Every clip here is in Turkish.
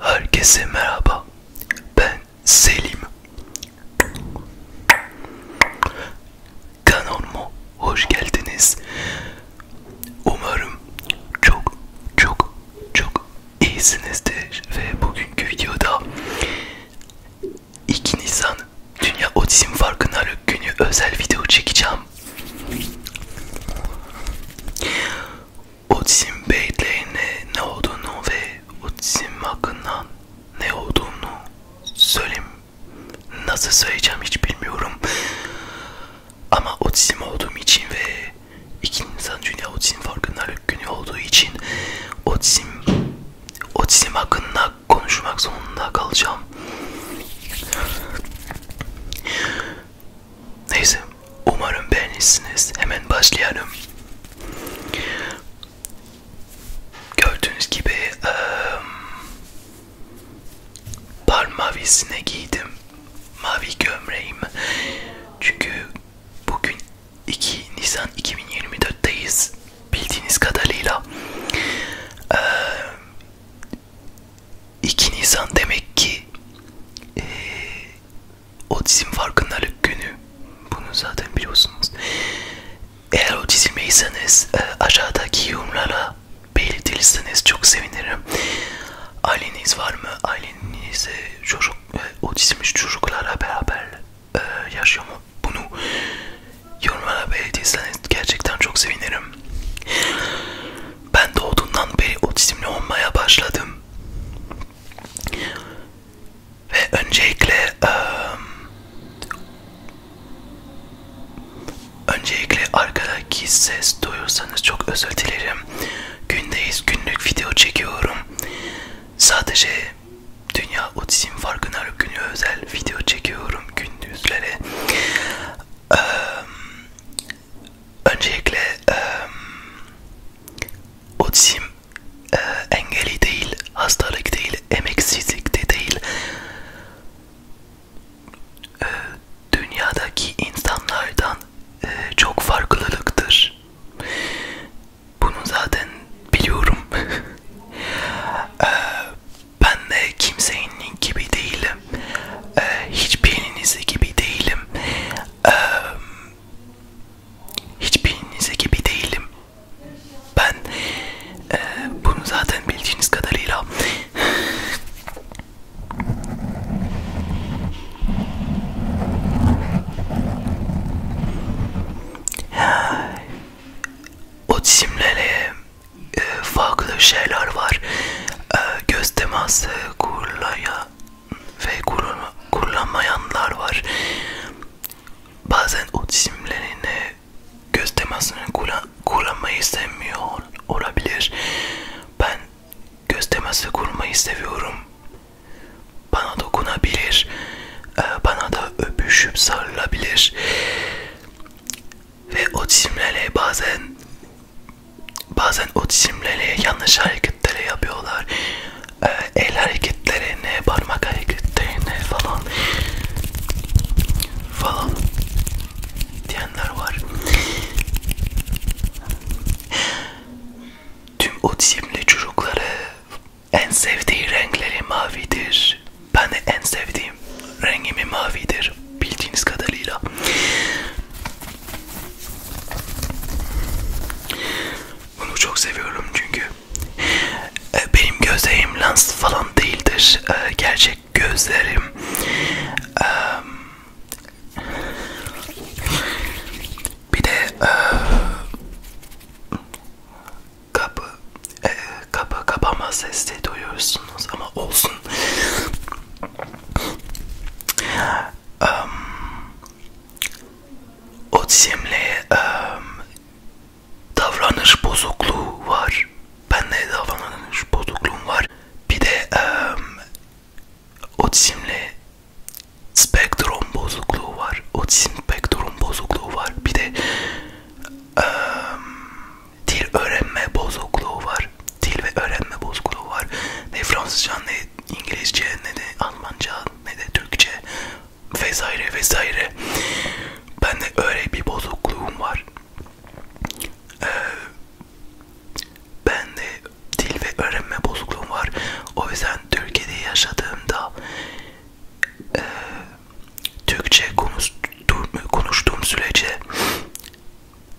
Herkese merhaba. Ben Selim. Kanalıma hoş geldiniz. Umarım çok çok çok iyisinizdir ve bugünkü videoda 2 Nisan Dünya Otizm Farkındalık Günü özel video çekeceğim. Otizm beyitlerine ne olduğunu ve otizm hakkında ne olduğunu söyleyeyim. Nasıl söyleyeceğim hiç bilmiyorum. Ama otizm olduğum için ve 2 Nisan Dünya Otizm Farkındalık Günü olduğu için otizm otizm hakkında konuşmak zorunda kalacağım. Neyse, umarım beğenirsiniz. Hemen başlayalım. Gördüğünüz gibi ıı, par mavisine giydim. Mavi gömleğim. Çünkü bugün 2 Nisan 2024'teyiz bildiğiniz kadarıyla. Ee, 2 Nisan demek ki e, otizm farkındalık günü. Bunu zaten biliyorsunuz. Eğer otizmdeyseniz e, aşağıdaki yorumlara belirtirseniz çok sevinirim. Aileniz var mı? Ailenize çocuk, e, otizmli çocuklara beraber e, yaşıyor mu bunu yorumlara belirtirseniz gerçekten çok sevinirim. Ben doğduğundan beri otizmli olmaya başladım. Ve öncelikle e, Öncelikle arkadaki ses duyursanız çok özür dilerim. Gündeyiz günlük video çekiyorum. Sadece Dünya Otizm Farkınar Günü özel video çekiyorum gündüzlere. Ee, öncelikle e, otizm e, engeli değil, hastalık değil, emeksizlik de değil. E, dünyadaki insanlardan e, çok farklılıktır. Bunu zaten biliyorum. ee, ben de kimsenin gibi değilim. Ee, hiçbirinize gibi değilim. Ee, hiçbirinize gibi değilim. Ben e, bunu zaten bildiğiniz kadarıyla Otizmle e, farklı şeyler var. E, göz teması kurulaya ve kurun, kullanmayanlar var. Bazen otizmlerine göz temasını kullan, kullanmayı sevmiyor olabilir. Ben göz teması kurmayı seviyorum. Bana dokunabilir, e, bana da öpüşüp sarılabilir ve otizmlerle bazen bazen otizmlerle yanlış hareketleri yapıyorlar, e, el hareketlerine, parmak hareketlerine falan falan diyenler var. Tüm otizmli çocukları en sevdiği renkleri mavidir. Ben de en sevdiğim rengimi mavidir bildiğiniz kadarıyla. Bunu çok seviyorum çünkü e, benim gözlerim lens falan değildir. E, gerçek gözlerim e, bir de e, kapı e, kapı kapama sesi duyuyorsunuz ama olsun. um, otizmle um, davranış bozukluğu var. Ben de davranış bozukluğum var. Bir de um, otizmle spektrum bozukluğu var. Otizm spektrum bozukluğu var. Bir de ıı, dil öğrenme bozukluğu var. Dil ve öğrenme bozukluğu var. Ne Fransızca ne İngilizce ne de Almanca ne de Türkçe vesaire vesaire. Ben de öyle bir bozukluğum var. Ee, ben de dil ve öğrenme bozukluğum var. O yüzden Türkiye'de yaşadığımda e, Türkçe konuştuğum, konuştuğum sürece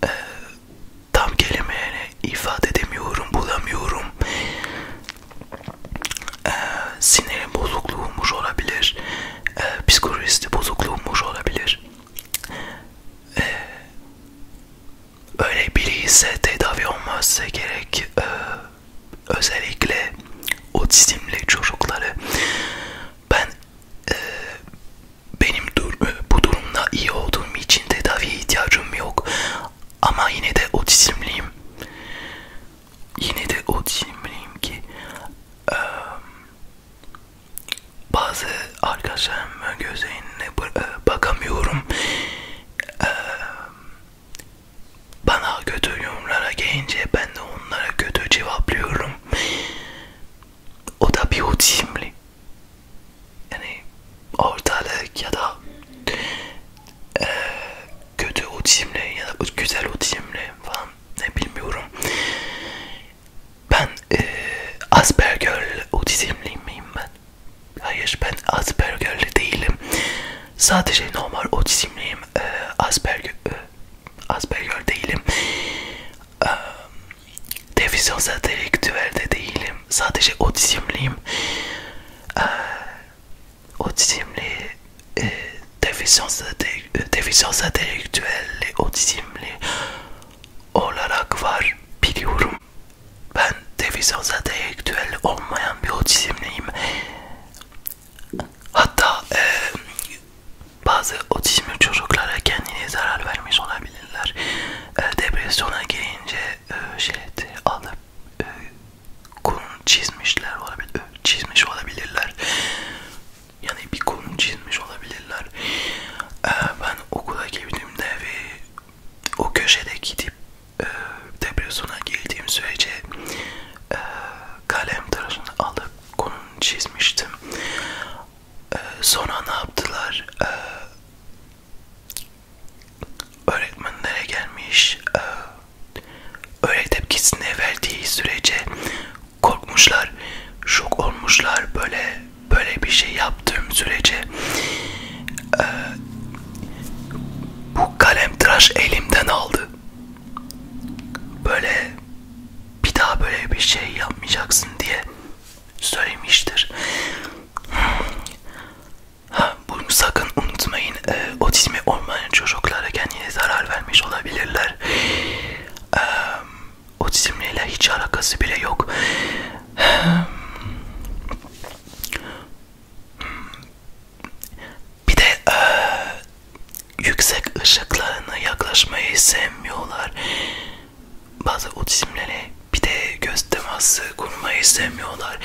e, tam kelimeyle ifade edemiyorum, bulamıyorum. E, sinirin bozukluğumuş olabilir, e, psikolojisi bozukluğumuş olabilir. Ee, öyle biri ise tedavi olmazsa gerek e, özellikle otizmli çocukları ben e, benim dur e, bu durumda iyi olduğum için tedaviye ihtiyacım yok ama yine de otizmliyim yine de otizmliyim ki e, bazı arkadaşlarımın gözlerine e, bakamıyorum. Ee, bana kötü yorumlara gelince ben de onlara kötü cevaplıyorum. O da bir otizmli. Yani ortalık ya da e, kötü otizmli ya da güzel otizmli falan ne bilmiyorum. Ben e, Asperger'li, otizmli miyim ben? Hayır ben Asperger'li değilim. Sadece normal otizmliyim. E, Asperger, e, Asperger değilim. E, Defisyonsa direktüelde değilim. Sadece otizmliyim. E, otizmli, e, defisyonsa e, direktüelde otizmli olarak var biliyorum. Ben devizaza deyektüel olmayan bir otizmliyim. Hatta e, bazı otizmli çocuklara kendine zarar vermiş olabilirler. E, depresyona girince e, şeydi alıp e, Kurun çizmişler olabilir, e, çizmiş olabilirler yani bir konum çizmiş olabilirler. Ee, ben okula girdiğimde ve o köşede gidip e, depresyona girdiğim sürece e, kalem tıraşını alıp konum çizmiştim. E, sonra ne yaptılar? E, öğretmenlere gelmiş e, öğret tepkisini verdiği sürece korkmuşlar, şok olmuşlar böyle böyle bir şey yaptığım sürece e, bu kalem tıraş elimden aldı. Böyle bir daha böyle bir şey yapmayacaksın diye söylemiştir. Ha, bunu sakın unutmayın. E, otizmi olmayan çocuklara kendine zarar vermiş olabilirler. E, otizmle hiç alakası bile yok. Bir de e, yüksek ışıklarına yaklaşmayı sevmiyorlar. Bazı otizmlere bir de göz teması kurmayı sevmiyorlar.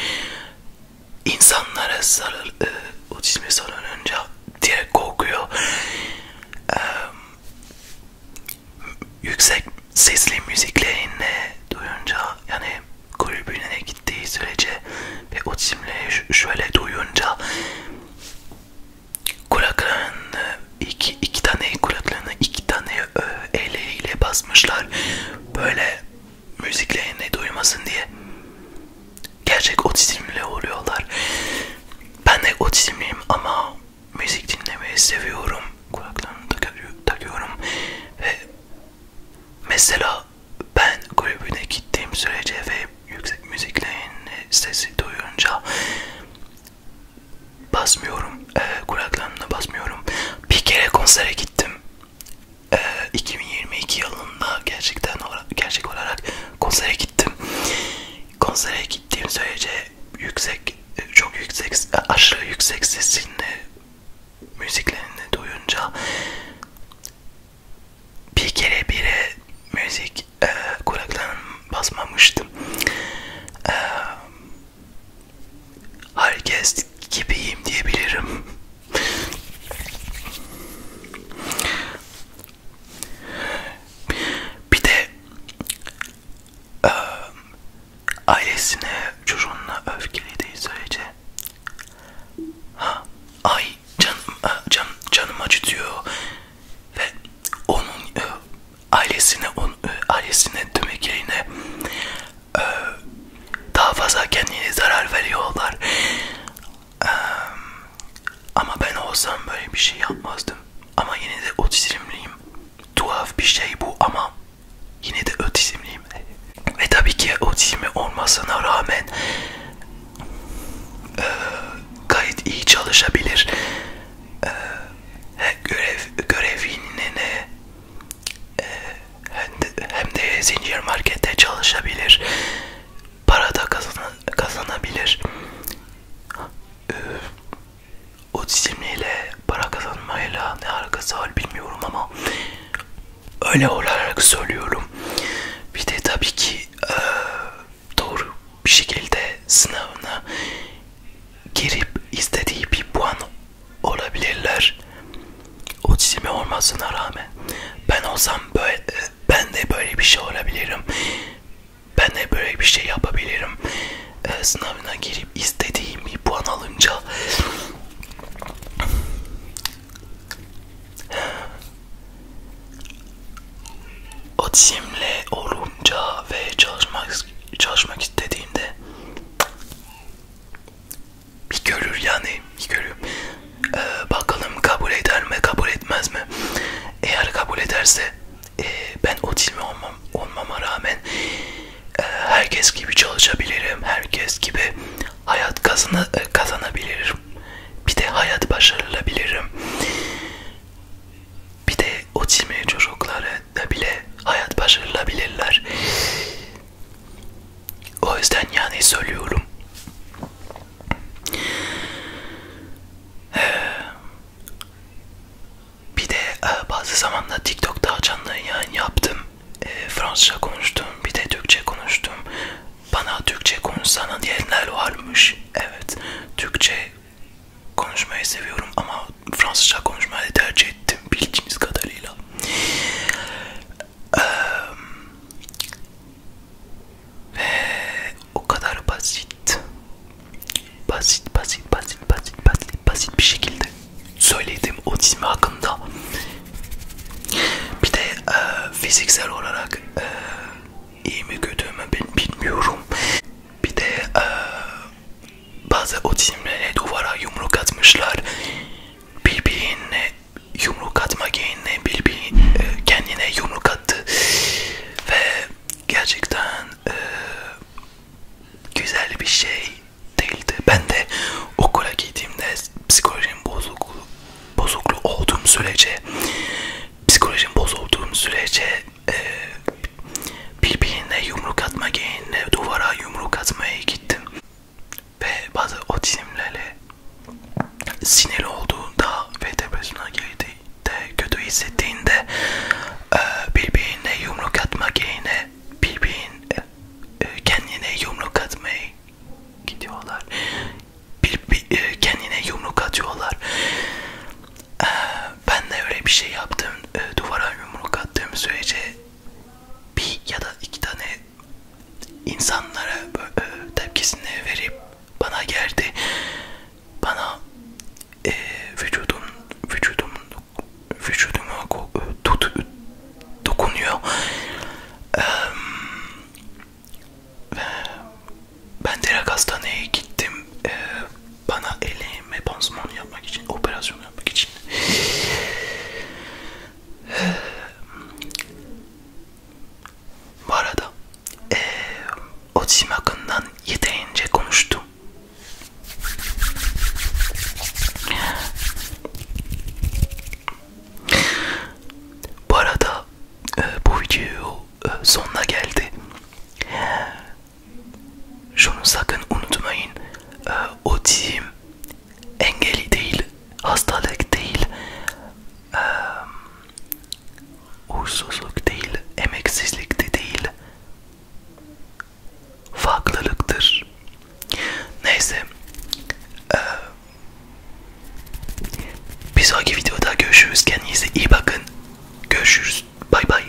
İnsanlara sarıl, e, otizme sarılınca diye korkuyor. Ee, yüksek sesli müziklerini duyunca yani kulübüne gittiği sürece ve o timleri şöyle duyunca kulaklarını iki, iki tane kulaklarını iki tane eliyle basmışlar böyle müziklerini duymasın diye gerçek otizmle oluyorlar. Ben de otizmliyim ama müzik dinlemeyi seviyorum. Kulaklarımı takıyorum ve mesela ben kulübüne gittiğim sürece ve yüksek müziklerin sesi duyunca basmıyorum, e, kulaklarımla basmıyorum. Bir kere konsere gittim. E, ee, 2022 yılında gerçekten gerçek olarak konsere gittim gittim. Konsere gittiğim sürece yüksek, çok yüksek, aşırı yüksek sesini, müziklerini duyunca bir kere bile müzik e, kulaklarına basmamıştım. E, herkes gibiyim diyebilirim. Bir de e, ailesine çocuğuna öfkeli değil sürece ha, ay can, e, can, canım acıtıyor ve onun e, ailesine on, e, ailesine demek yerine e, daha fazla kendine zarar veriyorlar ama ben olsam böyle bir şey yapmazdım. Ama yine de otizmliyim. Tuhaf bir şey bu ama yine de otizmliyim. Ve tabii ki otizmi olmasına rağmen e, gayet iyi çalışabilir. E, görev görevini e, hem de, hem de zincir markette çalışabilir para da kazan kazanabilir. Ee, otizmliyle para kazanmayla ne alakası var bilmiyorum ama öyle olarak söylüyorum. Bir de tabii ki e, doğru bir şekilde sınavına girip istediği bir puan olabilirler o çizimi olmasına rağmen ben olsam böyle ben de böyle bir şey olabilirim ben de böyle bir şey yapabilirim e, sınavına girip istediğim bir puan alınca o çizimle olunca ve çalışmak çalışmak istediğimde bir görür yani bir görür. Ee, bakalım kabul eder mi kabul etmez mi? Eğer kabul ederse e, ben otizmi olmam, olmama rağmen e, herkes gibi çalışabilirim, herkes gibi hayat kazana, e, kazanabilirim. Bir de hayat başarılabilirim. Bir de otizmli çocuklara da bile hayat başarılabilirler. O yüzden yani söylüyorum. Ee, bir de e, bazı zamanla TikTok'ta canlı yayın yaptım. E, Fransızca konuştum, bir de Türkçe konuştum. Bana Türkçe konuşsana diyenler varmış. Evet, Türkçe konuşmayı seviyorum ama Fransızca konuşmayı tercih ettim bildiğiniz kadarıyla. Ee, ve o kadar basit, basit, basit, basit, basit, basit, basit bir şekilde söylediğim otizmi hakkında. Bir de e, fiziksel olarak e, iyi mi kötü mü bilmiyorum. Bir de e, bazı otizmlere duvara yumruk atmışlar birbirine yumruk atma geyine birbir e, kendine yumruk attı ve gerçekten e, güzel bir şey değildi. Ben de okula gittiğimde psikolojim bozuklu bozuklu olduğum sürece psikolojim bozulduğum sürece e, birbirine yumruk atma geyine duvara yumruk atmaya gittim ve bazı otizmlerle sinirli olduğunda ve depresyona girdiğinde kötü hissettiğinde e, birbirine yumruk atmak yerine birbirine e, kendine yumruk atmaya gidiyorlar bir, bir, e, kendine yumruk atıyorlar ben de öyle bir şey yaptım duvara yumruk attığım sürece bir ya da iki tane insanlara e, tepkisini verip bana geldi. Bana e, vücudum vücudum vücuduma e, tut, e, dokunuyor. E, ben direkt hastaneye gittim. E, bana elini Eğme pansumanı yapmak için, operasyonu yapmak için. Bu arada e, otizm hakkından yeterince konuştum. Bu arada e, bu video e, sonuna geldi. Şunu sakın unutmayın. Ee, otizm engeli değil, hastalık değil, ee, uğursuzluk değil, emeksizlik de değil. Farklılıktır. Neyse. Ee, bir sonraki videoda görüşürüz. Kendinize iyi bakın. Görüşürüz. Bay bay.